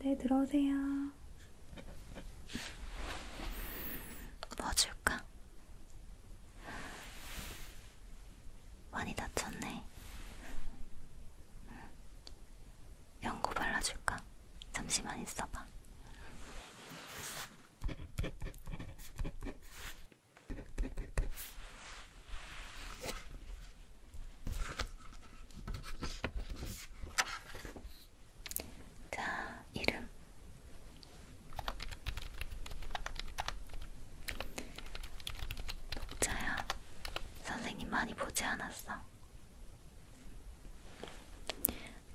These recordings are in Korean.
네, 들어오세요. 뭐 줄까? 많이 다쳤네. 연고 발라줄까? 잠시만 있어봐. 자, 이름. 녹차야. 선생님 많이 보지 않았어.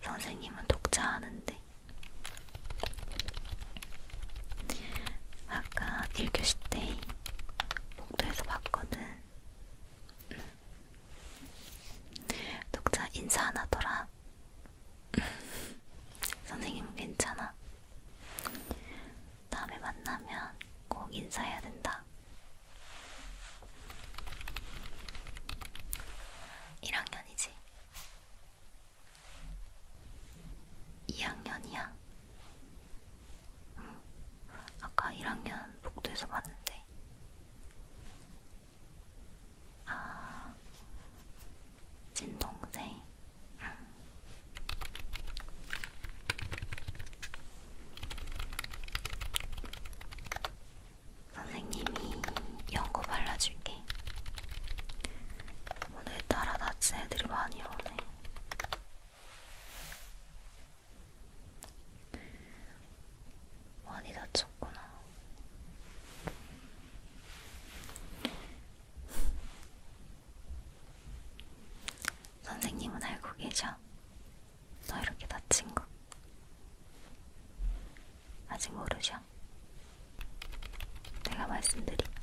선생님은 독자 하는데. 아까 1교시 때 복도에서 봤거든. 응. 독자 인사 안 하더라. 선생님 괜찮아. 다음에 만나면 꼭 인사해야 된다. 1학년이지. 2학년이야. 응. 아까 1학년 복도에서 봤는데. 아, 친동생. 선생님이 연고 발라줄게. 오늘따라 다친 애들이 많이 오네. 많이 다쳤구나. 선생님은 알고 계셔. 너 이렇게 다친 거. 아직 모르셔. 내가 말씀드릴게.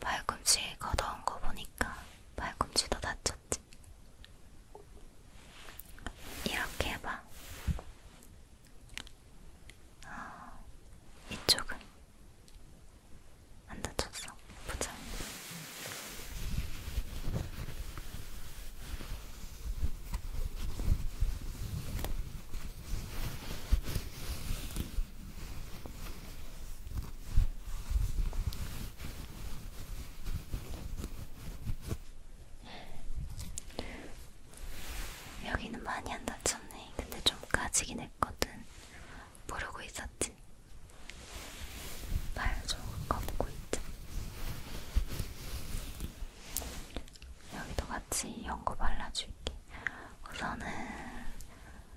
발꿈치 걷어온 거 보니까 발꿈치도 다쳤지. 이렇게 해봐. 어, 이쪽은 안 다쳤어. 보자. 여기는 많이 안 다쳤네. 근데 좀 까지긴 했거든. 모르고 있었지. 발좀 꺼보고 있지. 여기도 같이 연고 발라줄게. 우선은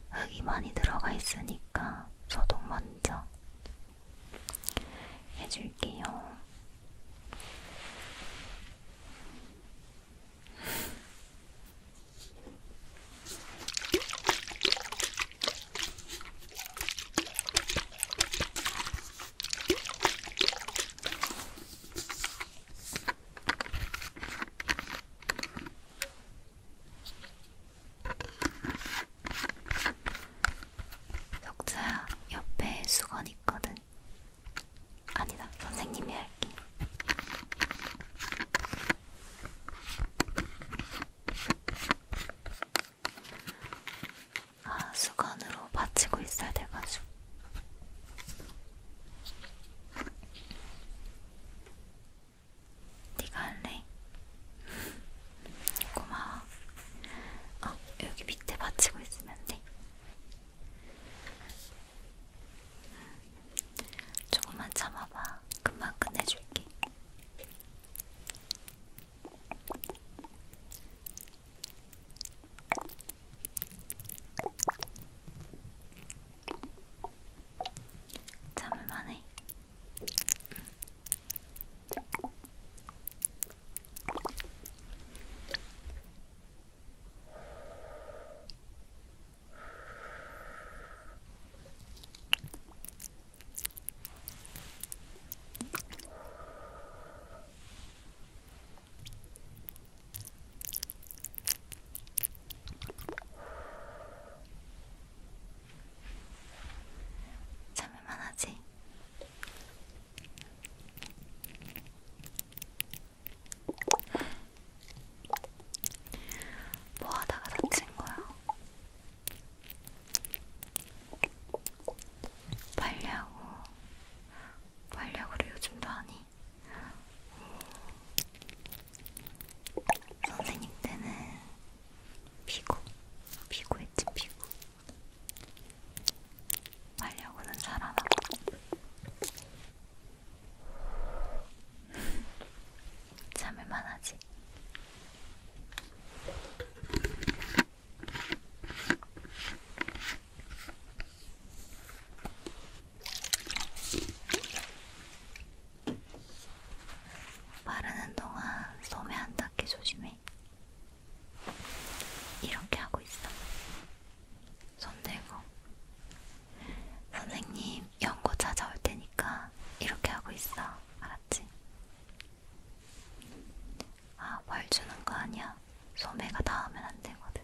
흙이 많이 들어가 있으니까 소독 먼저 해줄게요. 석자야, 옆에 수건 있거든. 아니다, 선생님이 할게. 아, 수건으로 받치고 있어야 돼가지고. 네가 할래? 고마워. 어, 여기 밑에 받치고 있으면 돼. 조금만 참아봐. 금방 끝내줄게. 참을만해. 참을만 하지? 뭐 하다가 다친 거야? 빨리하고, 빨리하고를 요즘도 하니? 선생님 때는 피고, 피고했지 피고. 말려고는 잘 안 하고. 참을만 하지. 바르는 동안 소매 안 닿게 조심해. 이렇게 하고 있어. 손 들고. 선생님, 연고 찾아올 테니까 이렇게 하고 있어. 알았지? 아, 벌 주는 거 아니야. 소매가 닿으면 안 되거든.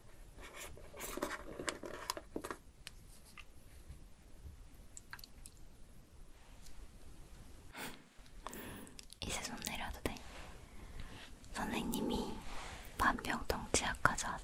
이제 손 내려도 돼. 선생님이 반병동 치약 가져왔어.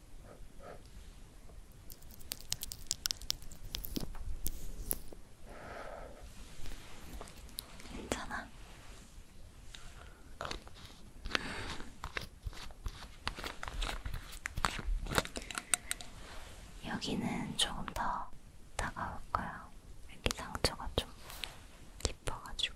괜찮아. 여기는 조금 더 다가올 거야. 여기 상처가 좀 깊어가지고.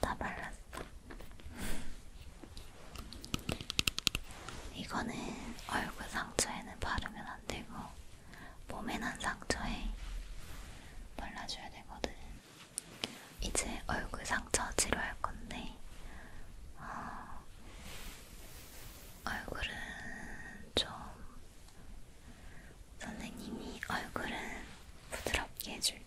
다 발랐어. 이거는 얼굴 상처에는 바르면 안 되고, 몸에 난 상처에 발라줘야 되거든. 이제 얼굴 상처 치료할 건데, 어, 얼굴은 좀 선생님이 얼굴은 부드럽게 해줄게.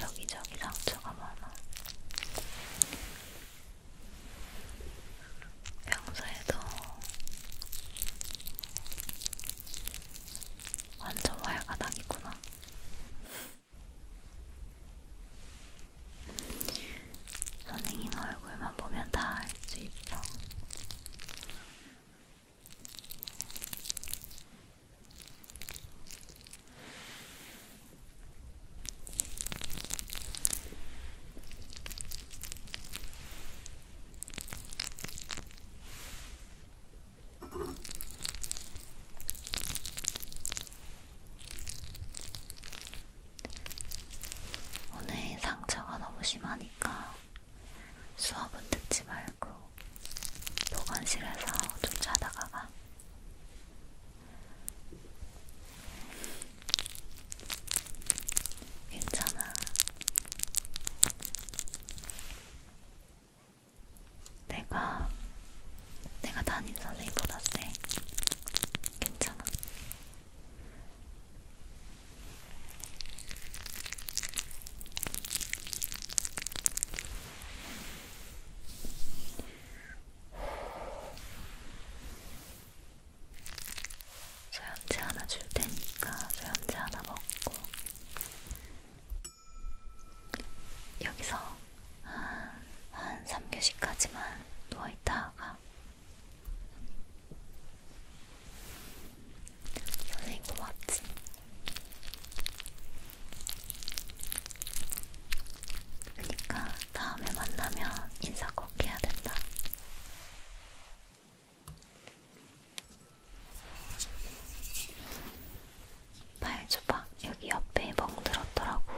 여기저기 상처가 많아. 평소에도 완전 왈가닥이구나. 선생님 얼굴만 보면 다 알 수 있어. 오늘 상처가 너무 심하니까 수업은 듣지 말고 보건실에서 쫓아다가가 괜찮아. 내가 내가 담임 선생님보다 세. 괜찮아. 소염제 하나 줄 테니까 소염제 하나 먹고 여기서 한, 한 3교시까지만 누워있다가 선생님 고맙지? 그러니까 다음에 만나면 인사 꼭 해야 된다. 팔조박 여기 옆에 멍들었더라고.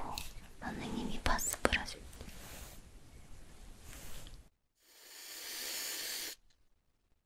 선생님이 파스프를 하실 때.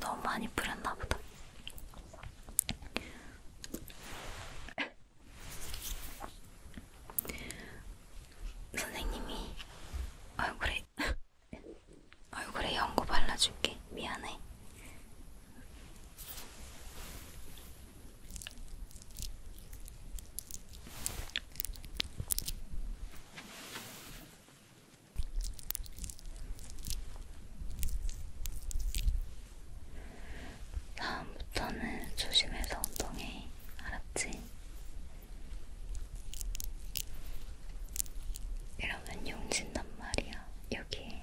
너무 많이 뿌렸나 보다. 선생님이 얼굴에 얼굴에 연고 발라줄게. 미안해. 다음부터는 조심해서 운동해. 알았지? 이러면 용진단 말이야. 여기에.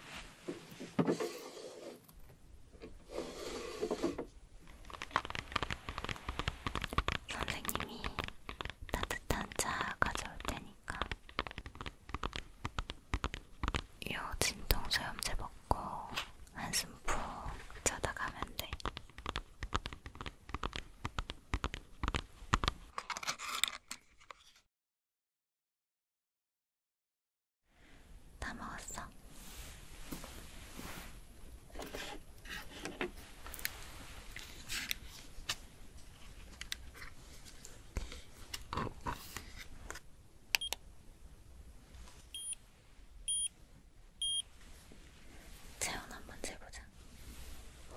선생님이 따뜻한 차 가져올 테니까 요 진통소염제 먹고 한숨 푹 자다 가면 돼. 다 먹었어. 체온 한번 재보자.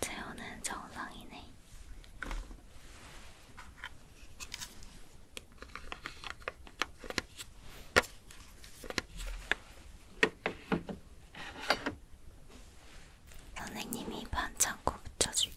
채우는 정상이네. 선생님이 반창고 붙여줄게.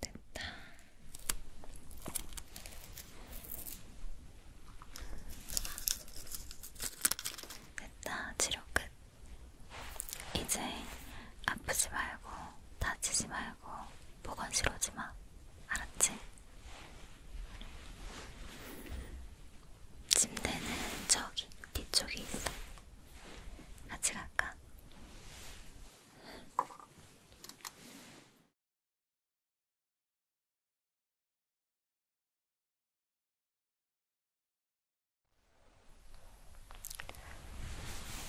됐다. 됐다. 치료 끝. 이제 아프지 말고 다치지 말고 보건실 오지 마. 알았지? 침대는 저기 뒤쪽에 있어. 같이 갈까?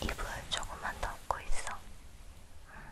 이불 조금만 더 얹고 있어. 응.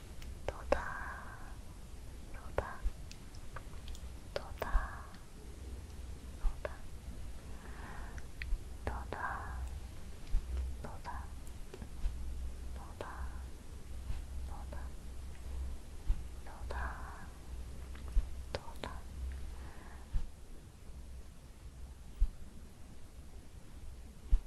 도다 도다 도다 도다 도다 도다 도다 도다 도다 도다 도다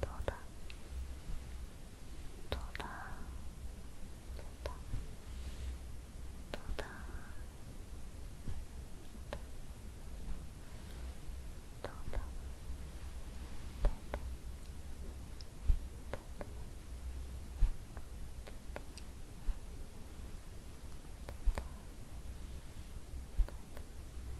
돌아 돌아 돌아 돌아 돌아 돌아